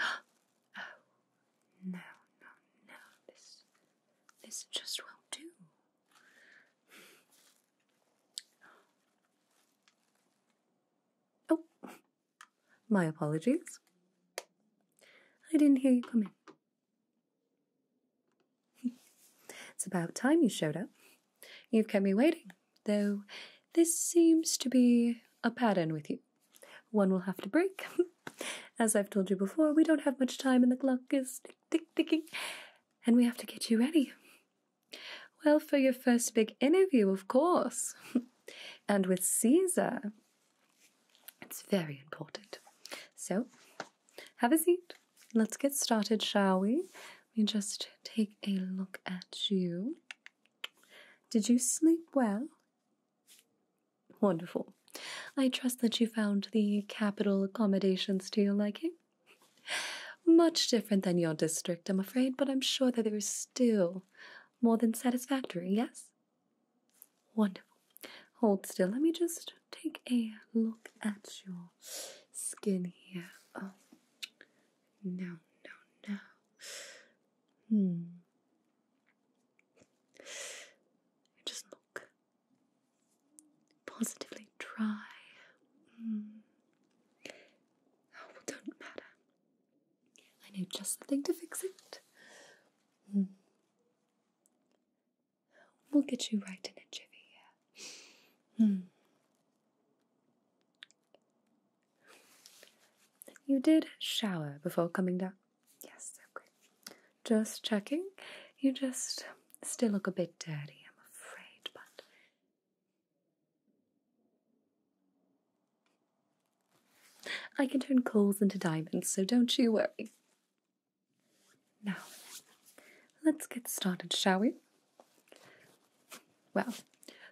oh no, no, no! This, this just won't do. Oh, my apologies. I didn't hear you coming. it's about time you showed up. You've kept me waiting though this seems to be a pattern with you. One will have to break. As I've told you before, we don't have much time and the clock is tick ticking, and we have to get you ready. Well, for your first big interview, of course, and with Caesar. It's very important. So, have a seat. Let's get started, shall we? Let me just take a look at you. Did you sleep well? Wonderful. I trust that you found the capital accommodations to your liking. Much different than your district, I'm afraid, but I'm sure that they were still more than satisfactory, yes? Wonderful. Hold still. Let me just take a look at your skin here. Oh. No, no, no. Hmm. Just look. Positively try. Mm. Oh, well, don't matter. I know just the thing to fix it. Mm. We'll get you right in a jiffy, yeah. Hmm. You did shower before coming down. Yes, okay. Just checking. You just still look a bit dirty, I'm afraid, but. I can turn coals into diamonds, so don't you worry. Now, let's get started, shall we? Well,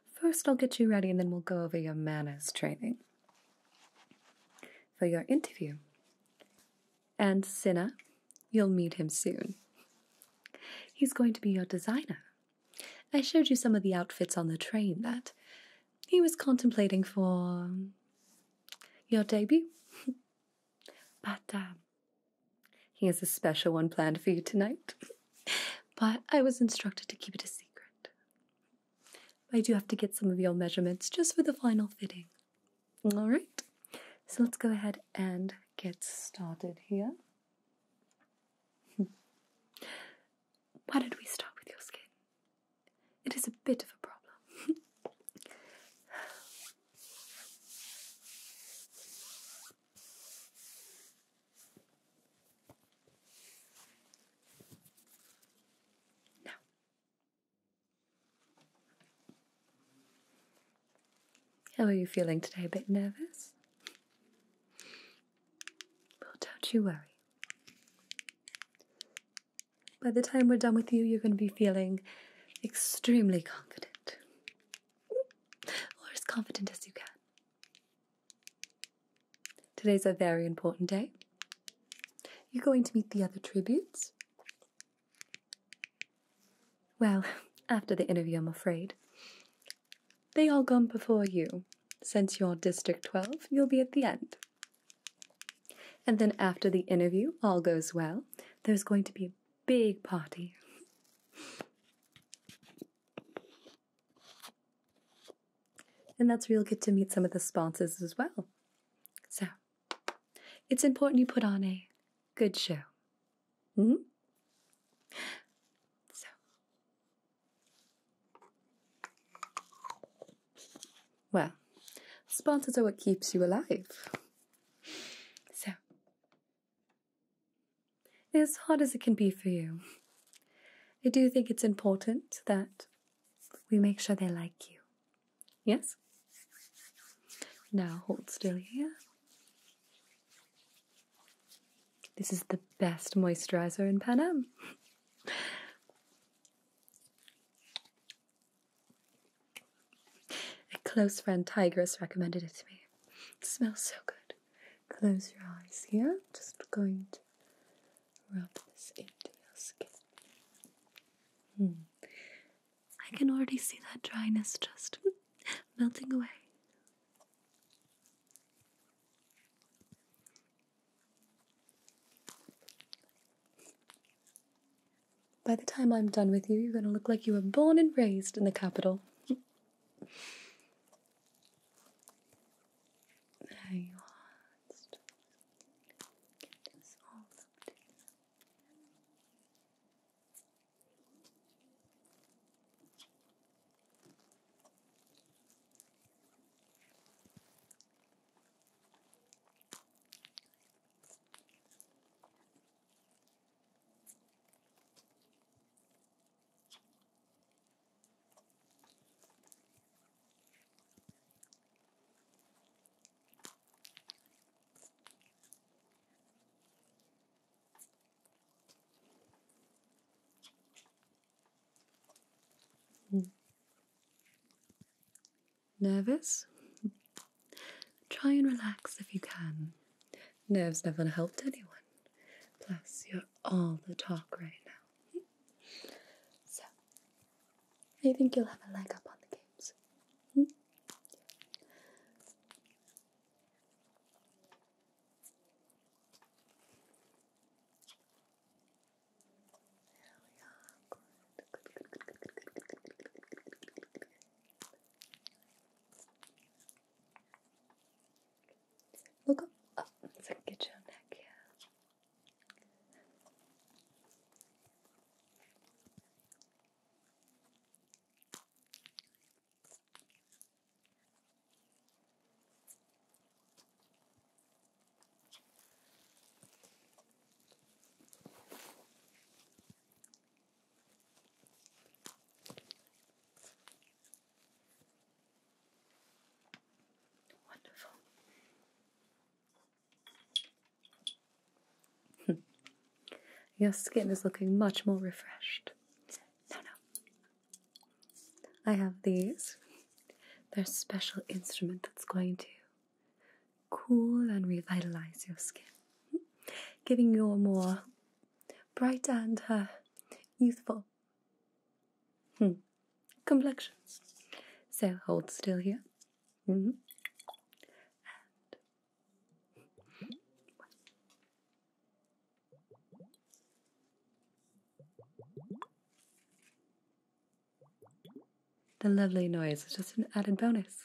first I'll get you ready and then we'll go over your manners training. For your interview. And Cinna, you'll meet him soon. He's going to be your designer. I showed you some of the outfits on the train that he was contemplating for your debut. but uh, he has a special one planned for you tonight. but I was instructed to keep it a secret. I do have to get some of your measurements just for the final fitting. All right, so let's go ahead and get started here. Why did we start with your skin? It is a bit of a problem. how are you feeling today? A bit nervous? Well, don't you worry. By the time we're done with you, you're going to be feeling extremely confident. Or as confident as you can. Today's a very important day. You're going to meet the other tributes? Well, after the interview, I'm afraid. They all gone before you. Since you're District 12, you'll be at the end. And then after the interview, all goes well, there's going to be a big party. And that's where you'll get to meet some of the sponsors as well. So, it's important you put on a good show. hmm? So, well, sponsors are what keeps you alive. So, as hard as it can be for you, I do think it's important that we make sure they like you. Yes? Now hold still here. This is the best moisturizer in Pan Am. A close friend, Tigress, recommended it to me. It smells so good close your eyes here. I'm Just going to rub this into your skin. Hmm. I can already see that dryness just melting away. By the time I'm done with you, you're going to look like you were born and raised in the capital. Hang on, still get this all to you. Good. Nervous? Try and relax if you can. Nerves never helped anyone. Plus, you're all the talk right now. So, I think you'll have a leg up on the games. Hmm? There Look up, up so get your neck here. Wonderful. Your skin is looking much more refreshed. No, no. I have these. They're special instrument that's going to cool and revitalize your skin, giving you a more bright and uh, youthful. Hmm. Complexion. So hold still here. Mm-hmm. the lovely noise is just an added bonus.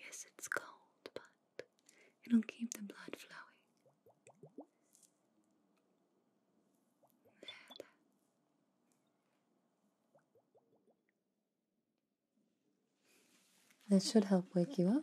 Yes, it's cold, but it'll keep the blood flowing. This should help wake you up.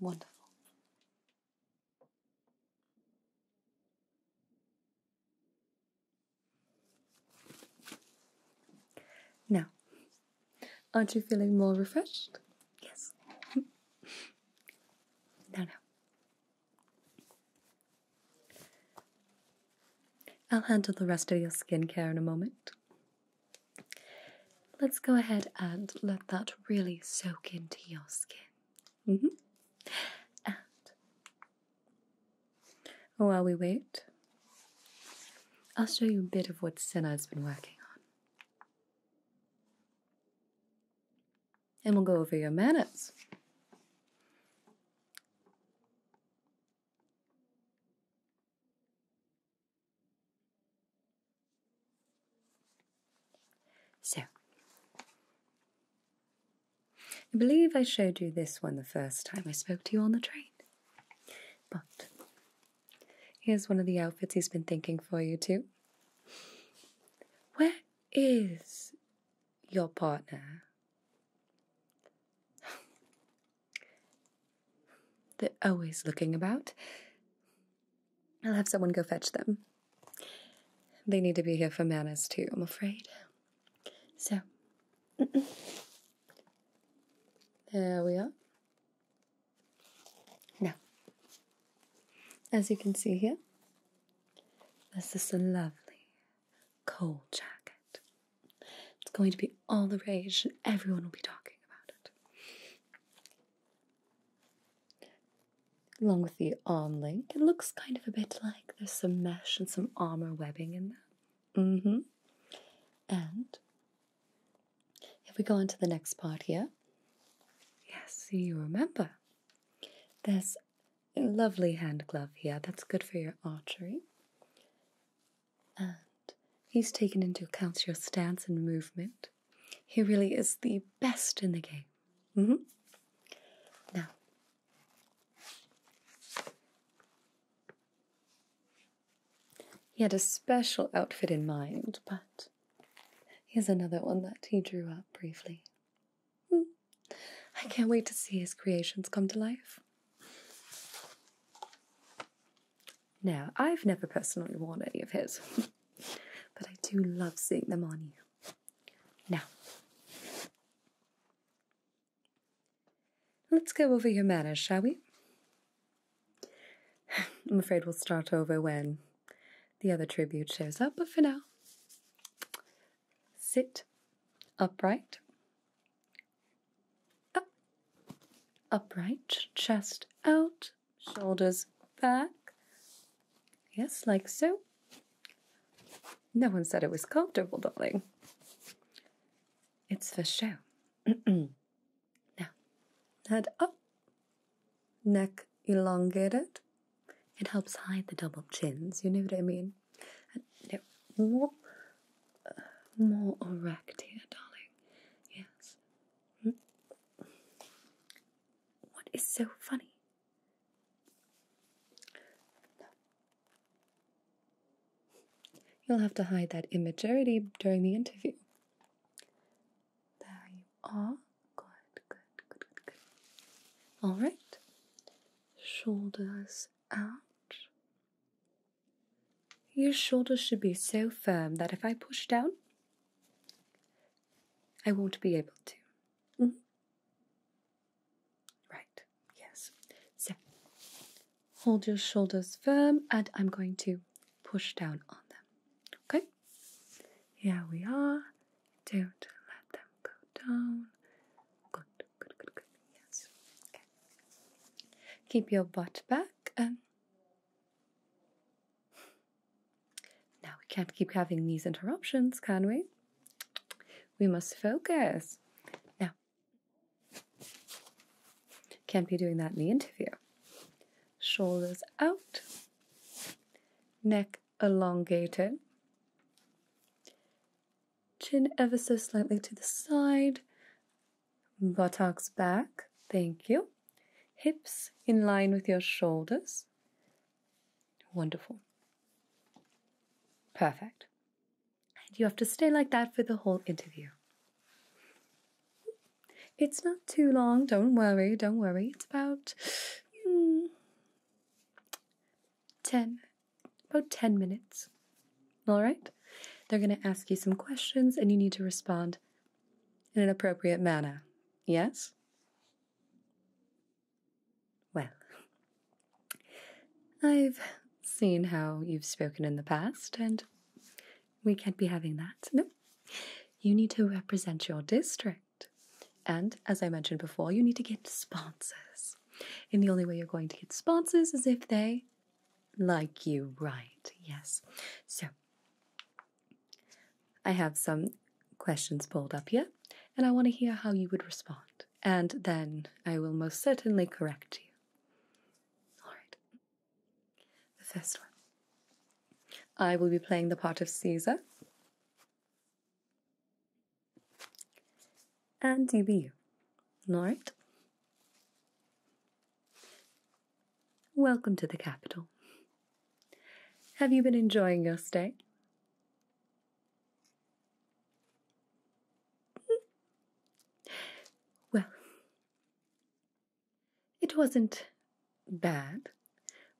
Wonderful. Now, Aren't you feeling more refreshed? Yes. now, now. I'll handle the rest of your skincare in a moment. Let's go ahead and let that really soak into your skin. Mm-hmm. And while we wait, I'll show you a bit of what Senna's been working on. And we'll go over your manners. So, I believe I showed you this one the first time I spoke to you on the train. But Here's one of the outfits he's been thinking for you, too. Where is your partner? They're always looking about. I'll have someone go fetch them. They need to be here for manners, too, I'm afraid. So, there we are. Now, as you can see here, this is a lovely cold jacket. It's going to be all the rage, and everyone will be talking about it. Along with the arm link, it looks kind of a bit like there's some mesh and some armor webbing in there. Mm hmm. And if we go on to the next part here, yes, you remember. There's a lovely hand glove here that's good for your archery. And he's taken into account your stance and movement. He really is the best in the game. Mm-hmm. Now, he had a special outfit in mind, but here's another one that he drew up briefly. Hmm. I can't wait to see his creations come to life. Now, I've never personally worn any of his, but I do love seeing them on you. Now, Let's go over your manners, shall we? I'm afraid we'll start over when the other tribute shows up, but for now, sit upright. Up. Upright, chest out, shoulders back. Yes, like so. No one said it was comfortable, darling. It's for show. Now, head up, neck elongated. It helps hide the double chins, you know what I mean? more, uh, more erect here, darling. Yes. Hmm? What is so funny? You'll have to hide that immaturity during the interview. There you are. Good, good, good, good, good. All right. Shoulders out. Your shoulders should be so firm that if I push down, I won't be able to. Mm-hmm. Right, yes. So, Hold your shoulders firm, and I'm going to push down on them. Okay? Here we are. Don't let them go down. Good, good, good, good. Yes. Okay. Keep your butt back. And now we can't keep having these interruptions, can we? We must focus. Now, can't be doing that in the interview. Shoulders out, neck elongated, chin ever so slightly to the side, buttocks back, thank you. Hips in line with your shoulders. Wonderful. Perfect and you have to stay like that for the whole interview. It's not too long, don't worry, don't worry. It's about hmm, 10 about 10 minutes. All right? They're going to ask you some questions and you need to respond in an appropriate manner. Yes? Well, I've seen how you've spoken in the past, and we can't be having that. No. You need to represent your district. And as I mentioned before, you need to get sponsors. In the only way you're going to get sponsors is if they like you, right? Yes. So, I have some questions pulled up here, and I want to hear how you would respond. And then I will most certainly correct you. Alright. The first one. I will be playing the part of Caesar. And you be you. Alright? Welcome to the capital. Have you been enjoying your stay? well, it wasn't bad,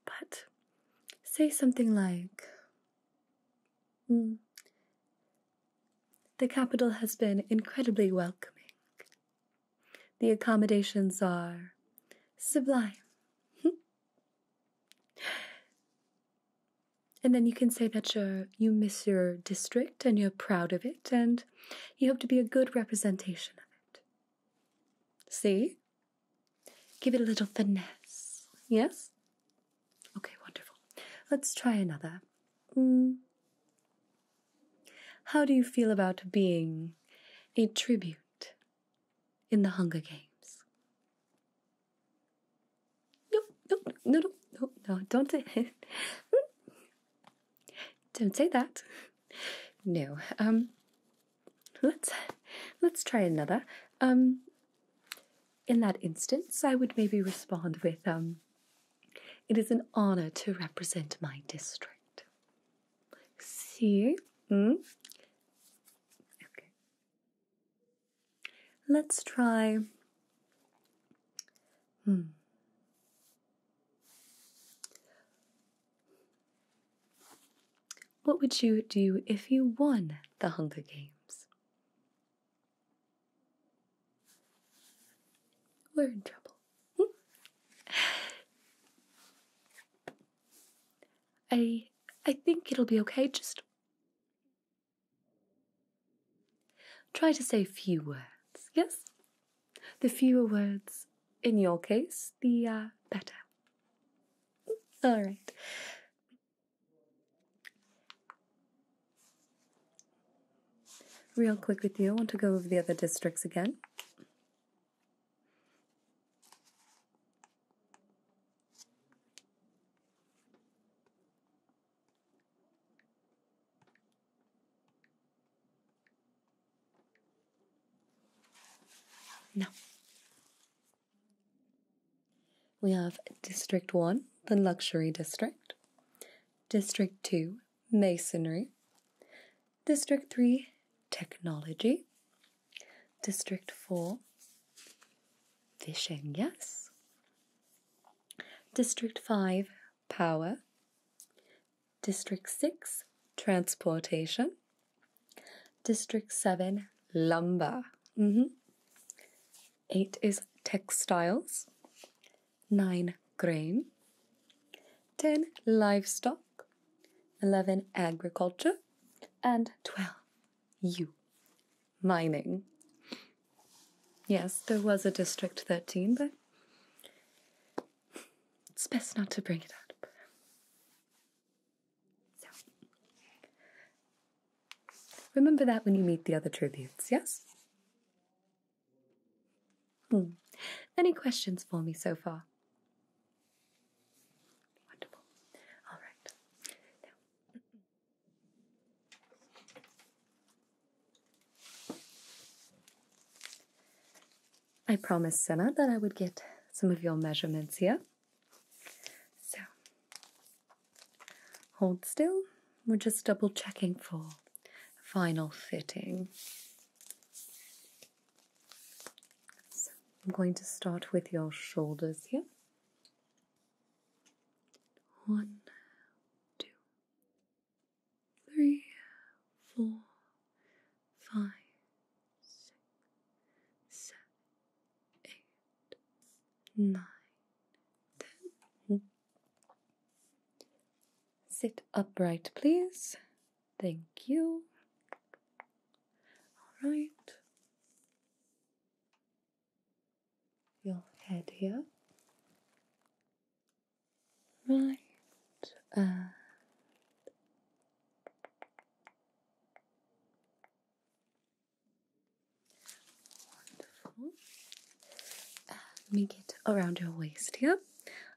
but say something like hmm, The capital has been incredibly welcoming. The accommodations are sublime. And then you can say that you miss your district and you're proud of it and you hope to be a good representation of it. See? Give it a little finesse. Yes? Okay, wonderful. Let's try another. Mm. How do you feel about being a tribute in the Hunger Games? No, no, no, no, no, don't say don't say that. No. Um let's let's try another. Um in that instance, I would maybe respond with um it is an honor to represent my district. See? Mm? Okay. Let's try Hmm. What would you do if you won the Hunger Games? We're in trouble. Hmm? I I think it'll be okay. Just Try to say few words, yes? The fewer words, in your case, the uh, better. All right. Real quick with you, I want to go over the other districts again. Now, we have District 1, the Luxury District, District 2, Masonry, District 3, Technology, District 4, Fishing, yes, District 5 Power, District 6 Transportation, District 7 Lumber, mm-hmm. 8 is Textiles, 9 Grain, 10 Livestock, 11 Agriculture, and 12 You mining. Yes, there was a District 13, but it's best not to bring it up. So, remember that when you meet the other tributes, yes? Hmm. Any questions for me so far? Wonderful. All right. I promised Senna that I would get some of your measurements here. So, hold still. We're just double checking for final fitting. So, I'm going to start with your shoulders here. One, two, three, four, five, six, seven, eight, nine, ten. Sit upright, please. Thank you. All right your head here. Right and wonderful. let me get around your waist here.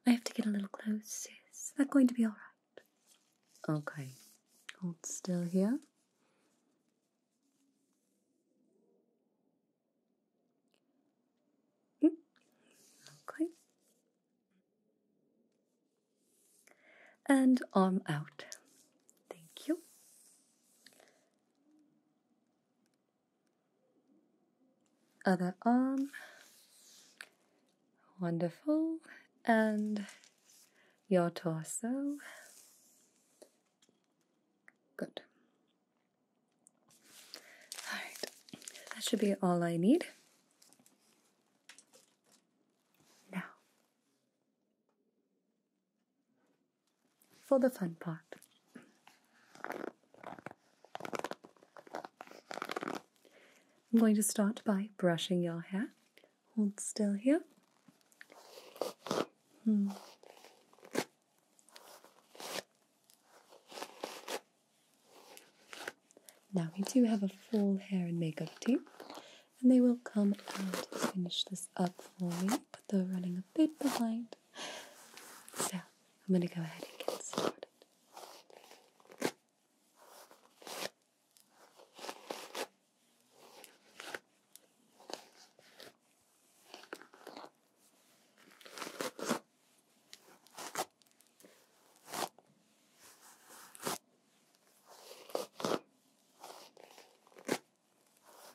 I have to get a little closer. Is that going to be all right? Okay. Hold still here. Hmm? Okay. And arm out. Thank you. Other arm. Wonderful. And your torso. Good. All right, that should be all I need. Now, for the fun part. I'm going to start by brushing your hair. Hold still here. Hmm. Now we do have a full hair and makeup team, and they will come and finish this up for me, but they're running a bit behind. So I'm going to go ahead and get started.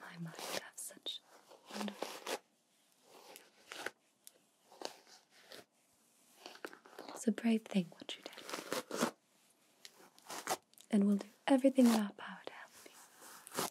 My mind have such wonderful It's a brave thing what you did. And we'll do everything in our power to help you.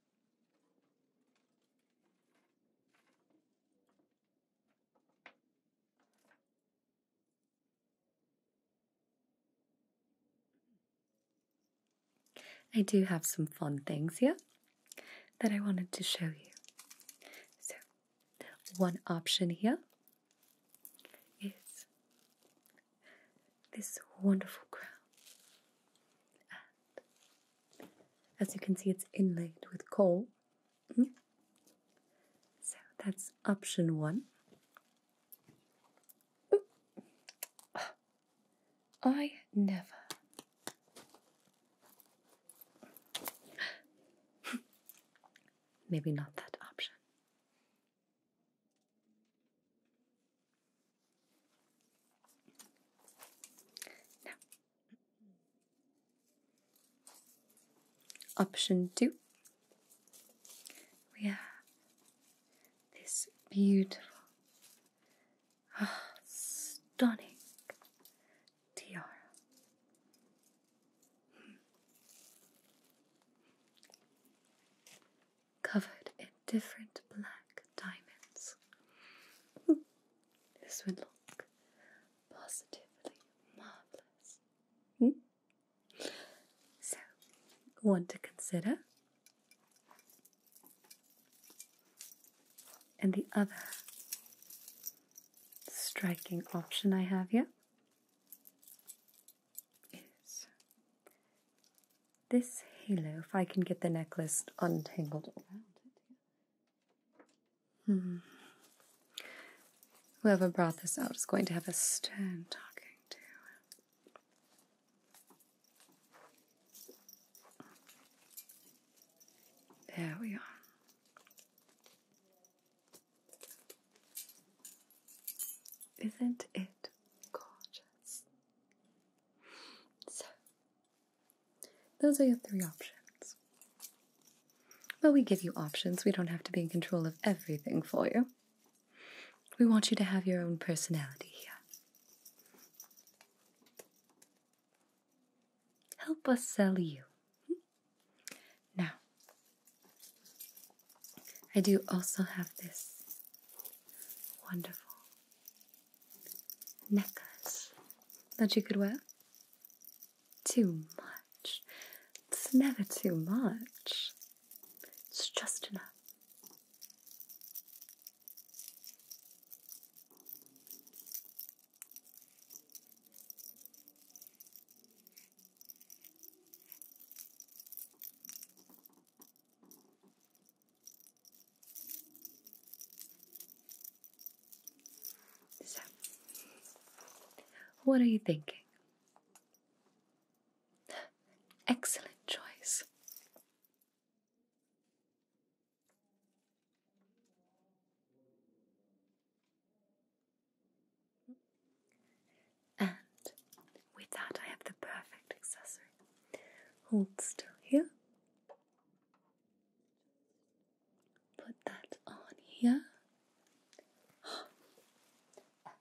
I do have some fun things here that I wanted to show you. So, one option here is this wonderful crown. As you can see, it's inlaid with coal. Mm. So that's option one. I never. Maybe not that option option two, we have this beautiful, oh, stunning tiara. Hmm covered in different black diamonds. this would look positively marvelous. Hmm? So, one to consider, and the other striking option I have here is this halo, if I can get the necklace untangled hmm. Whoever brought this out is going to have a stern talking to. There we are. Isn't it gorgeous? Those are your three options. But we give you options, we don't have to be in control of everything for you. We want you to have your own personality here. Help us sell you. Now, I do also have this wonderful necklace that you could wear? Too much. It's never too much. It's just enough. So, what are you thinking? Excellent choice. And with that, I have the perfect accessory. Hold still here. Put that on here.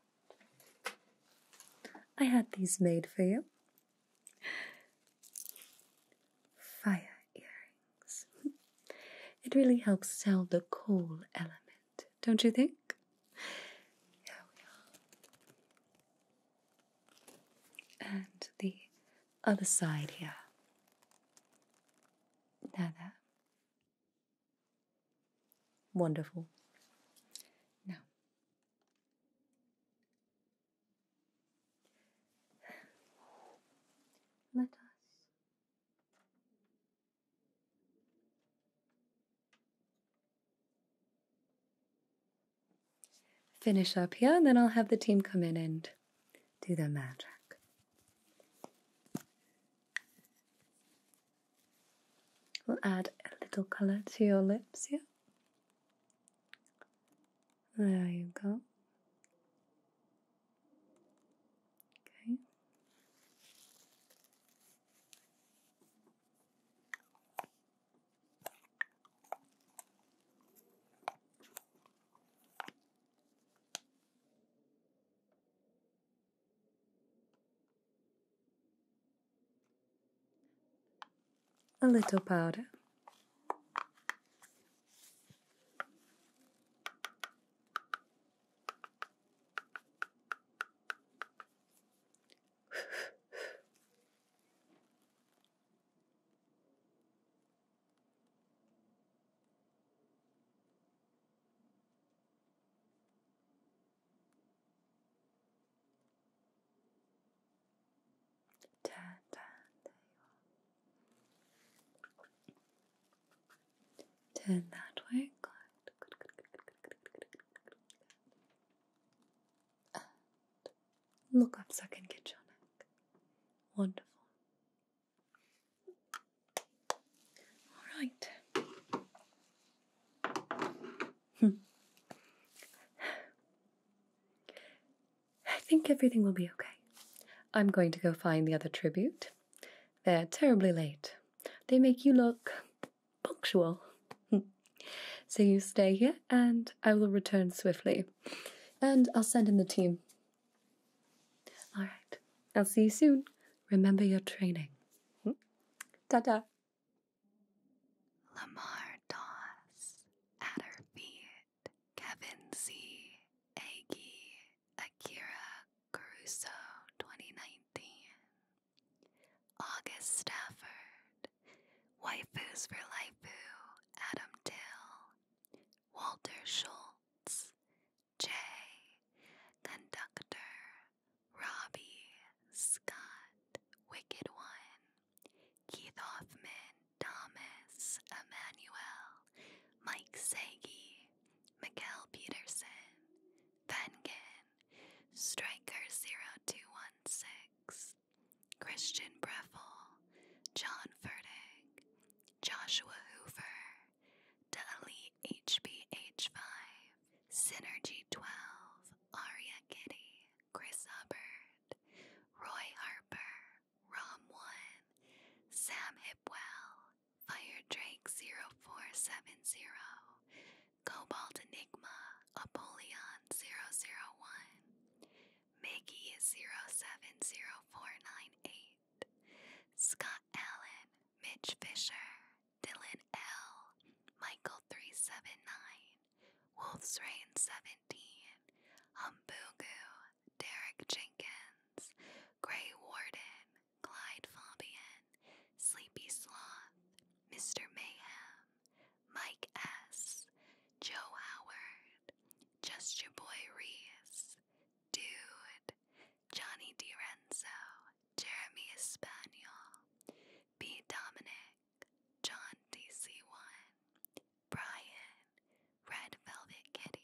I had these made for you. Fire earrings. It really helps sell the coal element, don't you think? Here and the other side here. Now there. Wonderful. Now, let us Finish up here, and then I'll have the team come in and do the magic. We'll add a little color to your lips here. There you go. Okay a little powder. Turn down, there you are. Turn that way, good look up second get your neck. Wonderful. All right. Hmm. I think everything will be okay. I'm going to go find the other tribute. They're terribly late. They make you look punctual. so you stay here, and I will return swiftly. And I'll send in the team. All right. I'll see you soon. Remember your training. Hmm? Ta ta. Lamar Doss, at Kevin C. Aggie, Akira Caruso, 2019. August Stafford, Waifus for Life, Adam Dill, Walter Schultz, Jay, Conductor, Robbie, Scott, Wicked One, Keith Hoffman, Thomas, Emmanuel, Mike Sagi, Miguel Peterson, Vengen, Striker 0216, Christian Breffel, John Furtick, Joshua Hoover, Dali HBH5, Synergy12, Aria Kitty, Chris Hubbard, Roy Harper, Rom1, Sam Hipwell, Fire Drake 0470, Cobalt Enigma, Apollyon 001, Mickey 070498, Scott Allen, Mitch Fisher, Dylan L, Michael 379, Wolf's Rain 17, Humbugu, Derek Jenkins, Gray Warden, Clyde Fabian, Sleepy Sloth, Mr. Mayhem, Mike S., Joe Howard, Just Your Boy Reese, Dude, Johnny DiRenzo, Jeremy Spaniel, B. Dominic, John DC1, Brian, Red Velvet Kitty.